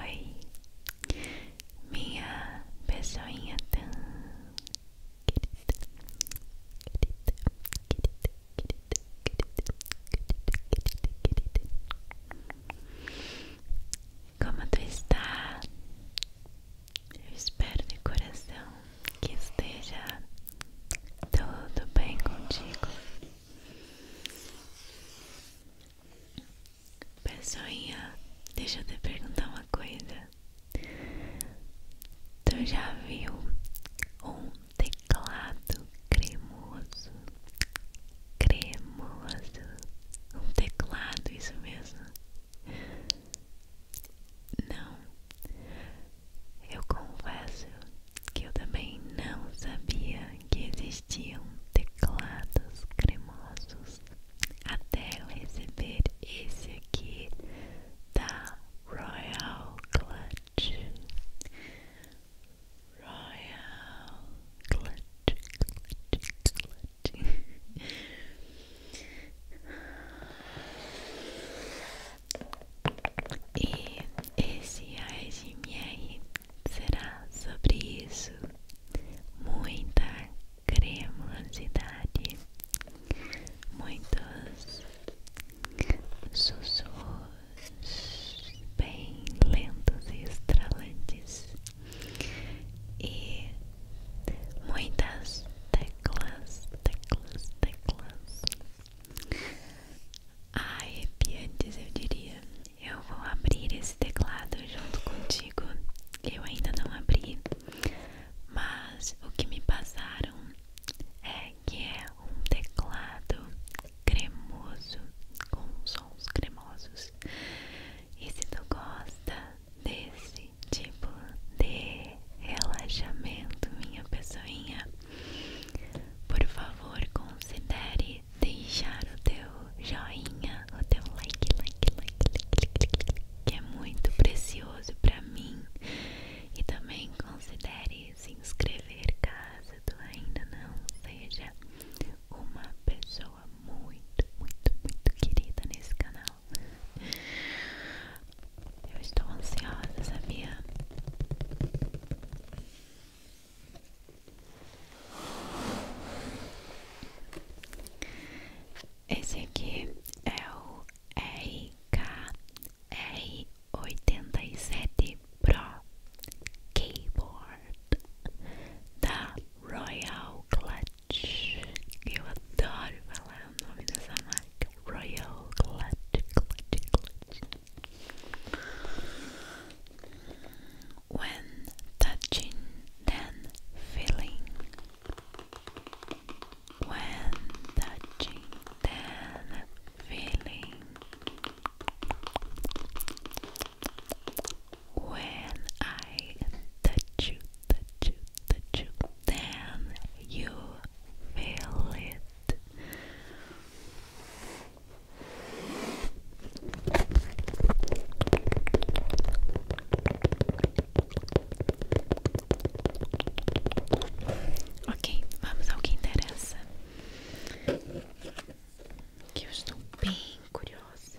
Oi, minha pessoinha tão querida, querida, querida, querida, querida, querida, querida. querida. Como tu está? Eu espero de coração que esteja tudo bem contigo. Pessoinha, deixa eu te perguntar uma coisa. Tu já viu um teclado cremoso? Cremoso. Um teclado, isso mesmo. Não, eu confesso que eu também não sabia que existiam teclados cremosos até eu receber esse aqui da Royal Clutch. Royal Clutch, Clutch, Clutch. E esse ASMR será sobre isso muita cremosidade, muitos sussurros bem lentos e estralantes e muitas teclas, teclas, teclas arrepiantes eu diria eu vou abrir esse teclado junto contigo. Eu ainda não abri, mas o que me passaram é que é um teclado cremoso, com sons cremosos. E se tu gosta desse tipo de relaxamento, minha pessoinha, por favor, considere deixar o teu joinha, o teu like, like, like, like, que é muito precioso para mim. E também considere se inscrever caso tu ainda não seja uma pessoa muito, muito, muito querida nesse canal. Eu estou ansiosa, sabia? Esse aqui é o RKR87 Pro Keyboard da Royal Clutch. Eu adoro falar o nome dessa marca, Royal Clutch. when touching, then feeling. When touching, then feeling. When I touch you, touch touch then you feel it. Ok, vamos ao que interessa. Que eu estou bem curiosa.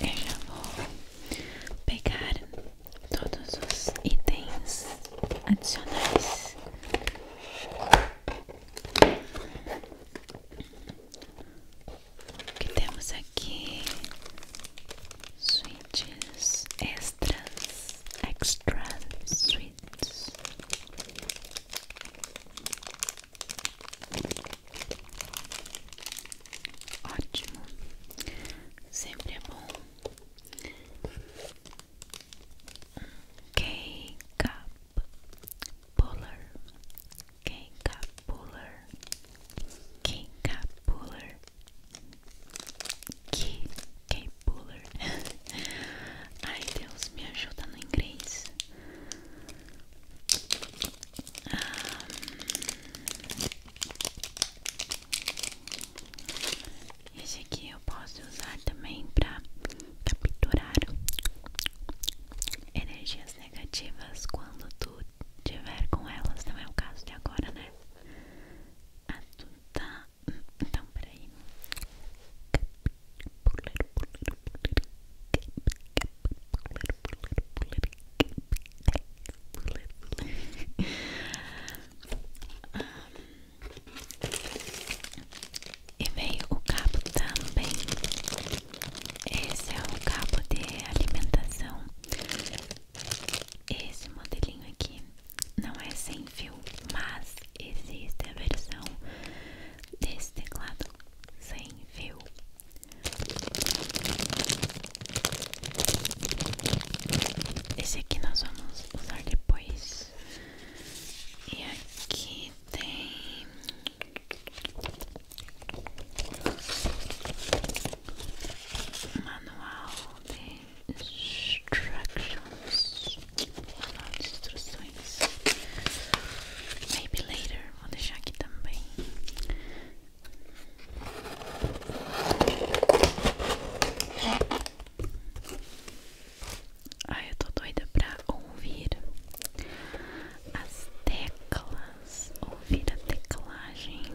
Eu já vou pegar todos os itens adicionais. que temos aqui? Sweets extras, extra sweets. Ótimo, sempre é bom. K-Cup Puller, K-Cup Puller, K-Cup Puller, K-Cup Puller. Ai Deus, me ajuda no inglês. Esse aqui eu posso usar também para capturar energias negativas quando tu tiver com elas. Não é o caso de agora, né? Ah, tu tá. Então, peraí. Capturar, capturar, capturar, e veio o cabo também. Esse é o cabo de alimentação. Esse modelinho aqui não é sem fio, mas existe a versão desse teclado sem fio esse aqui nós vamos usar depois. E aqui tem manual de instructions, manual de instruções. Maybe later, vou deixar aqui também. Ai, eu tô doida pra ouvir as teclas, ouvir a teclagem.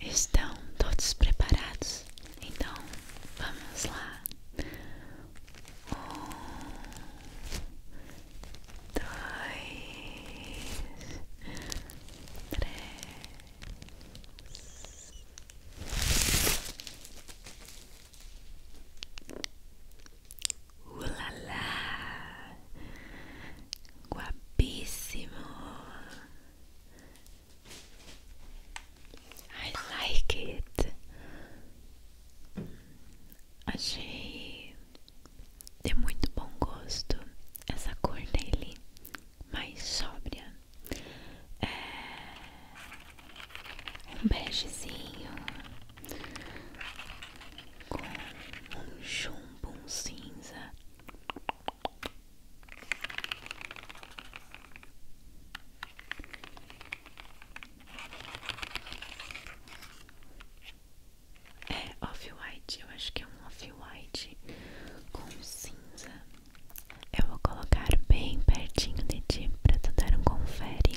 Estão todos preparados? Então vamos lá. Um, dois, três, Ulalá, guapíssimo. I like it. Achei de muito bom gosto essa cor dele, mais sóbria é, um begezinho com um chumbo cinza. É off-white, eu acho que é um off-white com cinza. Eu vou colocar bem pertinho de ti para tu dar um confere.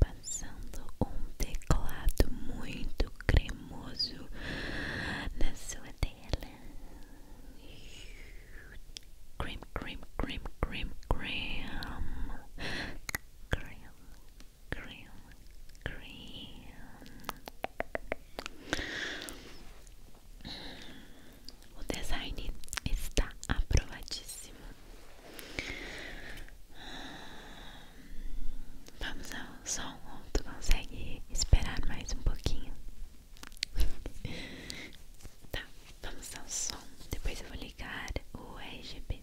Passando um teclado muito cremoso na sua tela. Cream, cream, cream, cream, cream. Cream, cream, cream. O design está aprovadíssimo. Vamos ao som, tu consegue esperar mais um pouquinho? tá, vamos ao som. Depois eu vou ligar o RGB.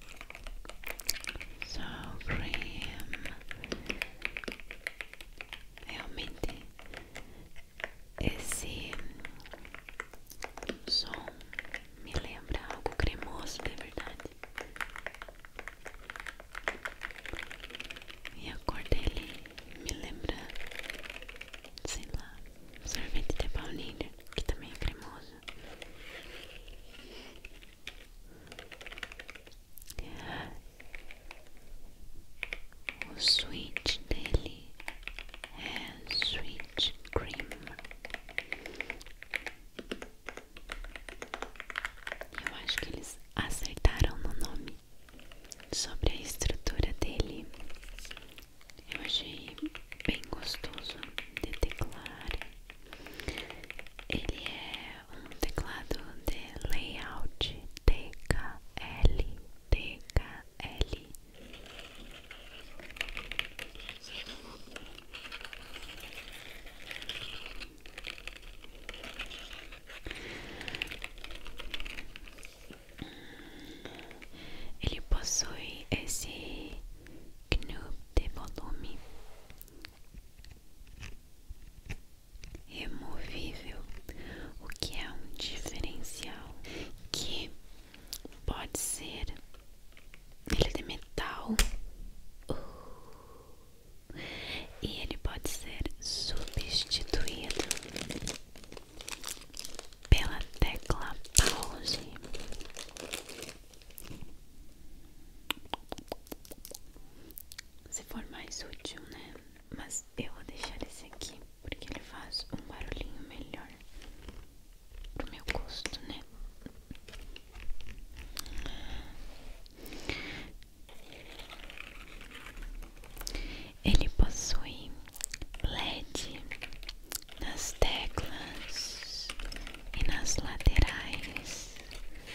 So cream realmente esse som me lembra algo cremoso, de é verdade. E a cor dele me lembra, sei lá, sorvete de baunilha, que também é cremoso. O sweet dele é sweet cream. Eu acho que eles acertaram no nome sobre a estrutura dele. Eu achei bem gostoso de declarar. Ele é um teclado de layout TKL TKL ele possui esse GNU de volume removível, o que é um diferencial que pode ser ele é de metal e ele pode ser substituído pela tecla pause se for mais útil, né? Mas eu vou deixar esse aqui porque ele faz um barulhinho melhor pro meu gosto, né? Ele possui LED nas teclas e nas laterais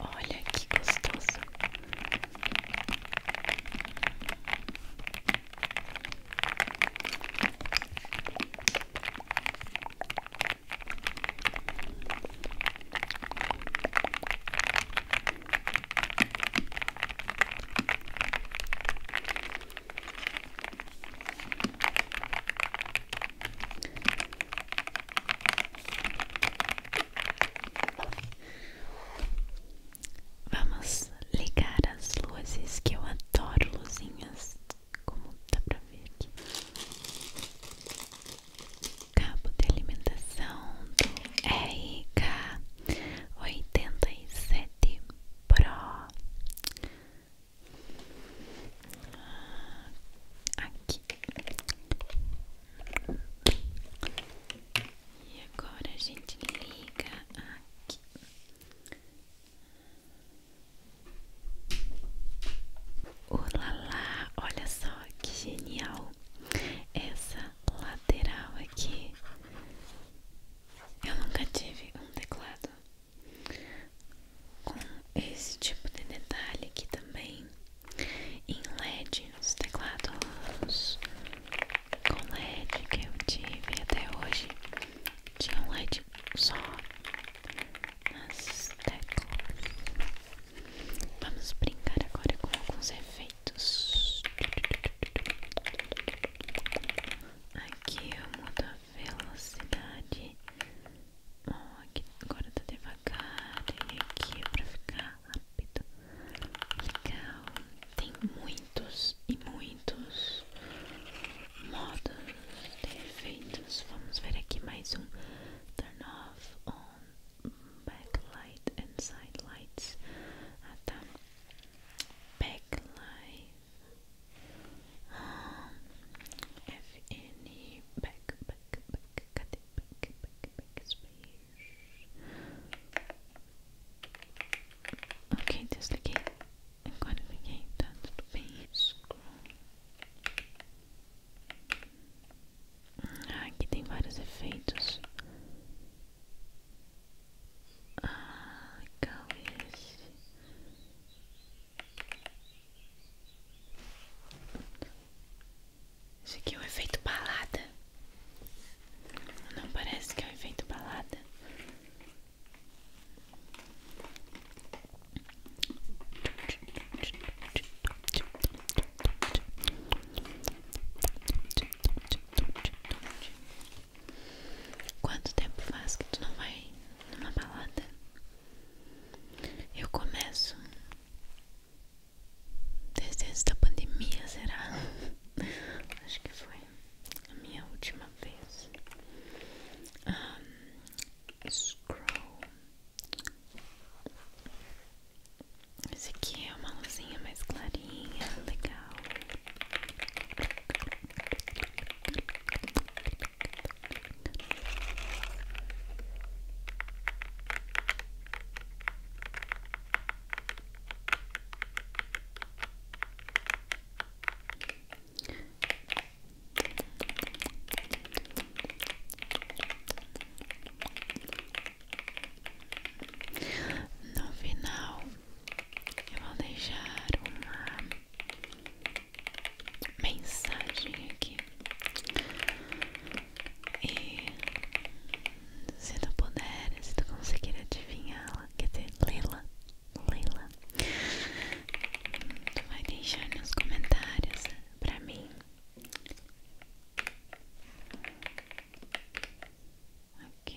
Olha que gostoso. Vamos ligar as luzes que eu adoro luzinhas, como dá pra ver aqui. Cabo de alimentação do rk sete Pro. Aqui. E agora a gente liga aqui. Olá, olha só que genial essa lateral aqui. Eu nunca tive um teclado com esse tipo de detalhe aqui também em LED, os teclados com LED que eu tive até hoje tinha um LED só nas teclas. Vamos brincar agora com alguns efeitos. Aqui eu mudo a velocidade Oh, aqui agora tá devagar aqui é pra ficar rápido. Legal. Tem muitos e muitos modos de efeitos. Vamos ver aqui mais um. Turn off on backlight and side lights. Ah tá. Backlight. Ah, FN back back back. Cadê? back, back, back space. Ok, desliguei. Agora liguei, tá tudo bem. Ah, aqui tem vários efeitos. Ah, legal esse. Isso aqui é um efeito balada. Não parece que é um efeito balada. Quanto tempo faz que tu não vai numa balada? Eu começo Desde antes da pandemia, será? Acho que foi a minha última vez. scroll. Esse aqui é uma luzinha mais clarinha, legal. No final, eu vou deixar uma mensagem aqui e se tu puder, se tu conseguir adivinhá-la, quer dizer, lê-la, lê-la, tu vai deixar nos comentários pra mim. Ok.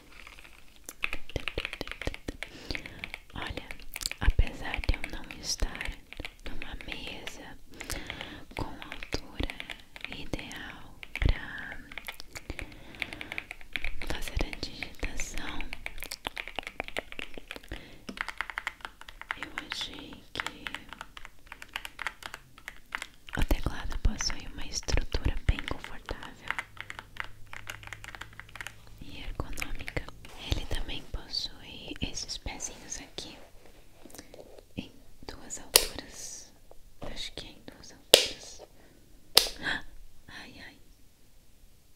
Olha, apesar de eu não estar numa mesa com altura ideal para fazer a digitação, eu achei que o teclado possui uma estrutura bem confortável e ergonômica. Ele também possui esses pezinhos aqui em duas alturas. Acho que é em duas alturas. Ai, ai.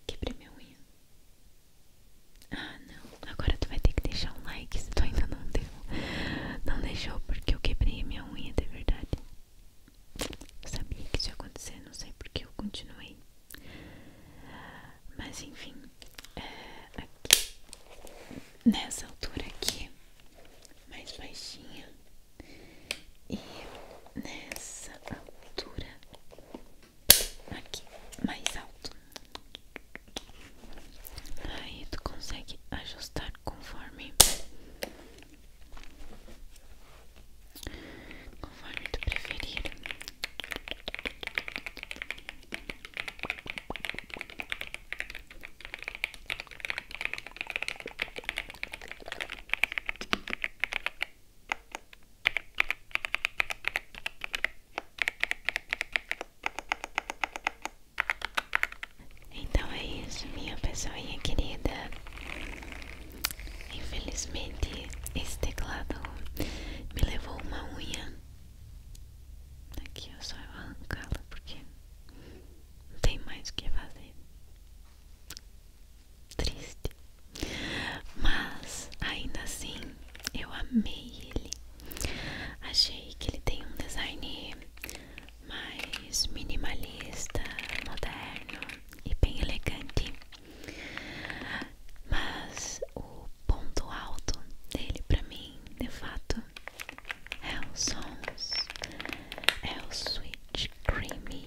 Quebrei minha unha. Ah, não. Agora tu vai ter que deixar um like se tu ainda não deu. Não deixou porque eu quebrei minha unha de verdade sabia que isso ia acontecer, não sei porque eu continuei. Mas enfim, é, aqui, nessa altura aqui, mais baixinha, e nessa altura aqui, mais alto. Aí tu consegue ajustar conforme conforme tu preferir então é isso, minha pessoinha querida. Infelizmente, esse teclado me levou uma unha. Aqui eu só vou arrancá-la porque não tem mais o que fazer. Triste. Mas ainda assim, eu amei ele. Achei que ele tem um design mais minimalista, moderno e bem elegante. Mas o ponto alto dele para mim, de fato, é o sons, é o sweet creamy,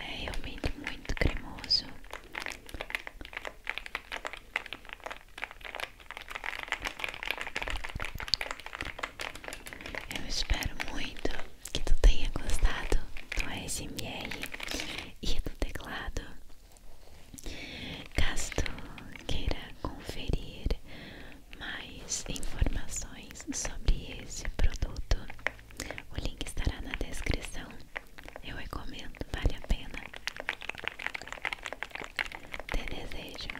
é realmente muito cremoso. Eu espero muito que tu tenha gostado do ASMR e do teclado. Caso tu queira conferir mais informações sobre esse produto, o link estará na descrição. Eu recomendo, vale a pena. Te desejo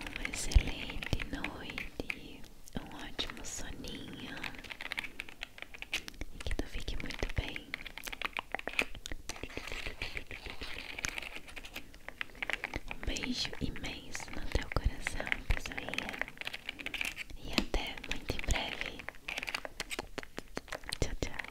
uma excelente noite, um ótimo soninho e que tu fique muito bem. Um beijo imenso no teu coração, pessoinha, e até muito em breve. Tchau, tchau.